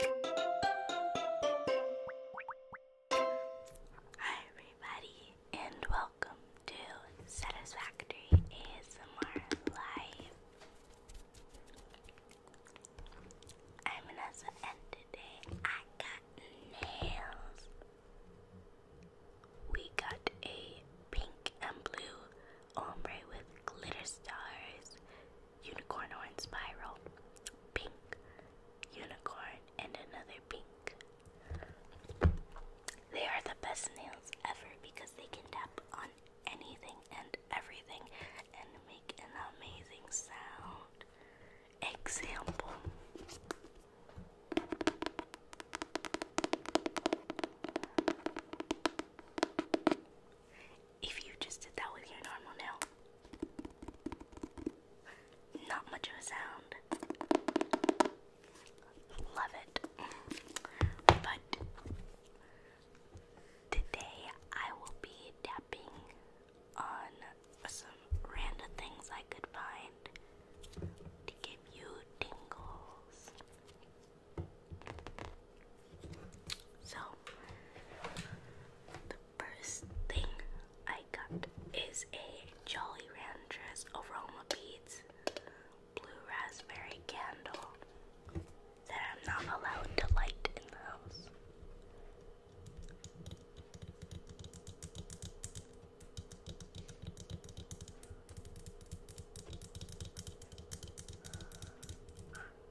Hi, everybody, and welcome to Satisfactory ASMR Live. I'm Vanessa, and today I got nails. We got a pink and blue ombre with glitter stars unicorn horn spiral, pink, unicorn, and another pink. They are the best nails ever because they can tap on anything and everything and make an amazing sound. Example if you just did that with your normal nail. Not much of a sound. Love it. But today I will be tapping on some random things I could find to give you tingles. So, first thing I got is a Jolly Ranchers aroma beads blue raspberry candle that I'm not allowed to light in the house.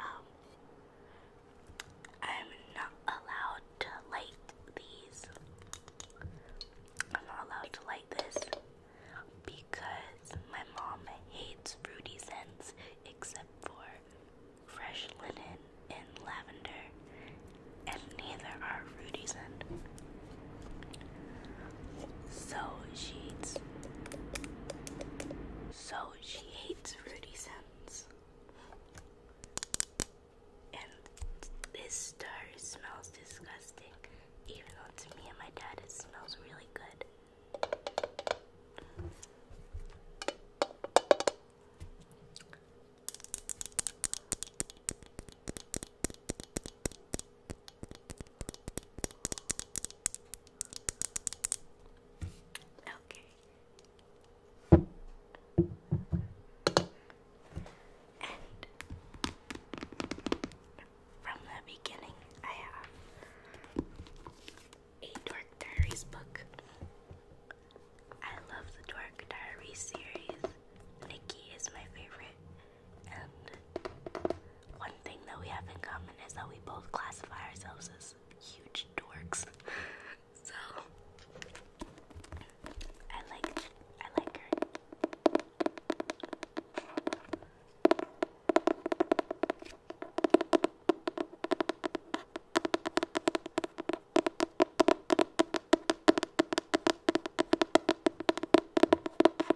Um, I'm not allowed to like these. I'm not allowed to light this because my mom hates fruity scents except for fresh linen and lavender, and neither are fruity scents. So she hates. So she hates fruity scents. And this star smells disgusting, even though to me and my dad it smells really good. Okay. And from the beginning, I have a Dork Diaries book. I love the Dork Diaries series. Nikki is my favorite one thing that we have in common is that we both classify ourselves as huge dorks. so I like I like her.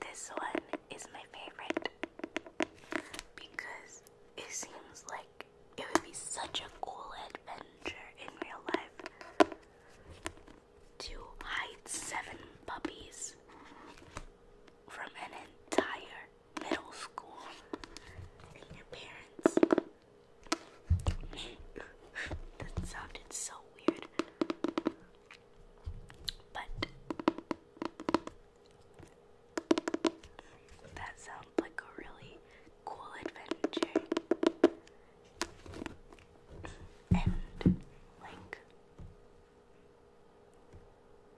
This one is my favorite because it seems like it would be such a cool adventure in real life to hide seven puppies from an entire middle school and your parents that sounded so weird. But that sounds like a really cool adventure. And like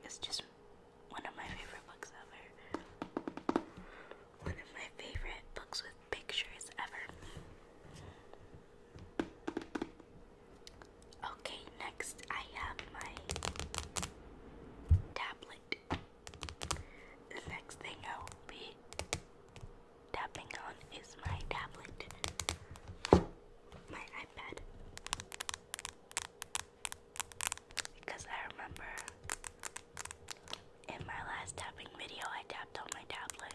it's just one of my favorite books ever one of my favorite books with pictures ever. Okay, next I have my tablet. The next thing I will be tapping on is my tablet, my iPad. Because I remember in my last tapping video, I tapped on my tablet.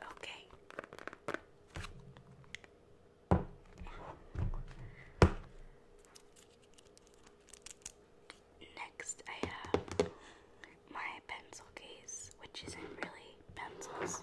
Okay. Next, I have my pencil case, which isn't really pencils.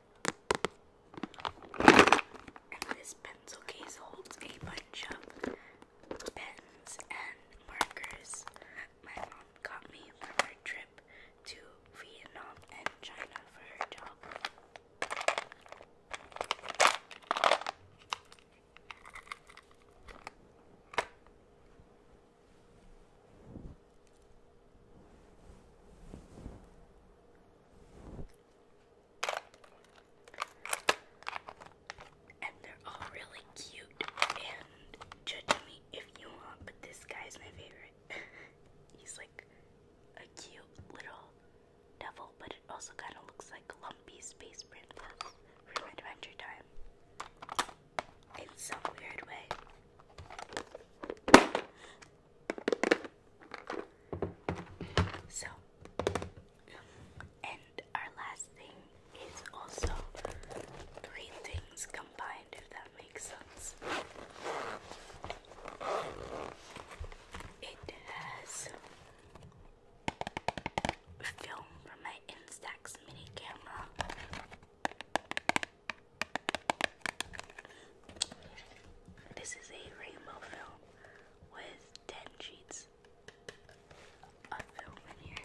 this pencil case holds a bunch of pens and markers my mom got me from her trip to Vietnam and China for her job. And they're all really cute. And judge me if you want, but this guy's my favorite. He's like a cute little devil, but it also kind of looks like lumpy space princess from Adventure Time in some weird way. So, and our last thing is also three things combined, if that makes sense. It has film from my Instax mini camera. This is a rainbow film with 10 sheets of film in here.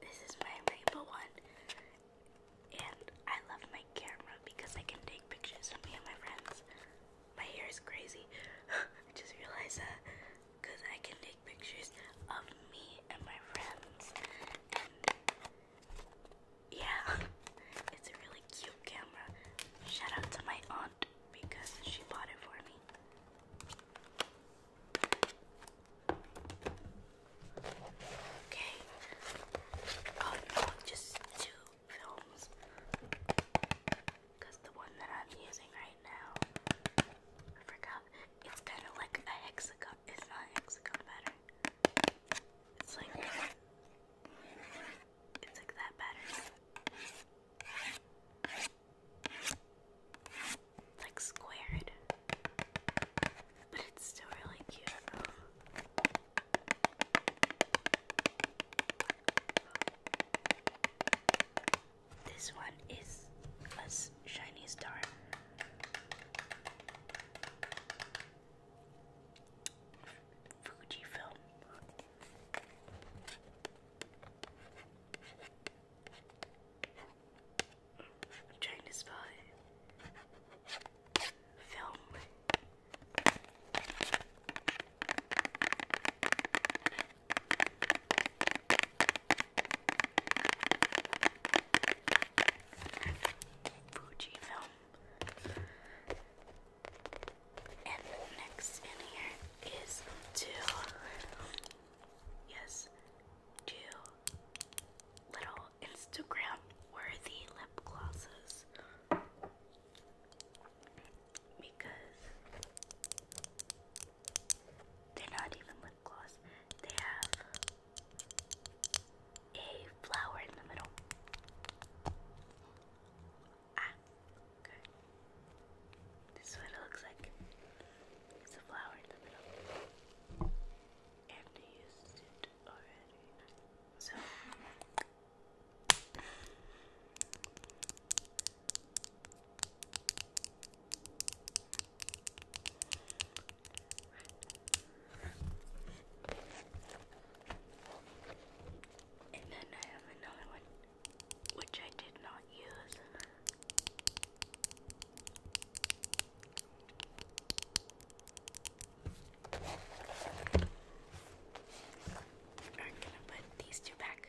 This is my rainbow one, and I love my camera because I can take pictures of me and my friends. My hair is crazy. I just realized that because I can take pictures of me and my friends. And yeah, it's a really cute camera. Shout to my aunt because she bought it for me. Okay. Oh no, just two films. Because the one that I'm using right now, I forgot. It's kind of like a hexagon. It's not hexagon pattern. It's like it's like that pattern. like squared, but it's still really cute. This one is a shiny star. Fujifilm. trying to spell Film. Fujifilm. And next in here is two, yes, two little Instagram worthy lip glosses. Because they're not even lip gloss. They have a flower in the middle. Ah, okay. This what it looks like. It's a flower in the middle. And I used it already. So. And then I have another one, which I did not use. I'm gonna put these two back.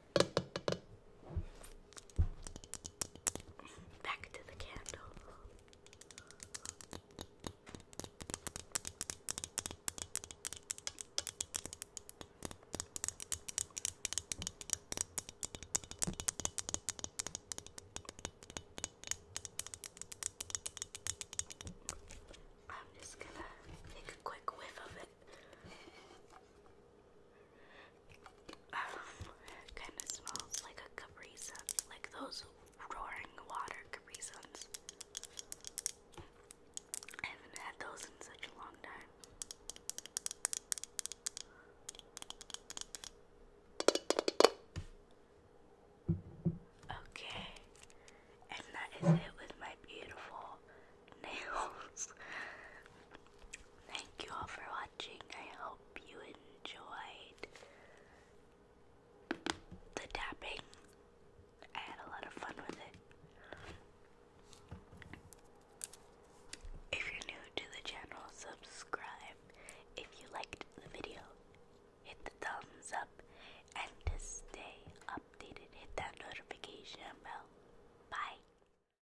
Back to the candle. I'm just gonna take a quick whiff of it kind of smells like a Capri Sun, like those roaring water Capri I haven't had those in such a long time. Okay, and that is it with my beautiful nails. Thank you all for watching. I hope you enjoyed the tapping. I had a lot of fun with it. If you're new to the channel, subscribe. If you liked the video, hit the thumbs up. And to stay updated, hit that notification bell. Bye.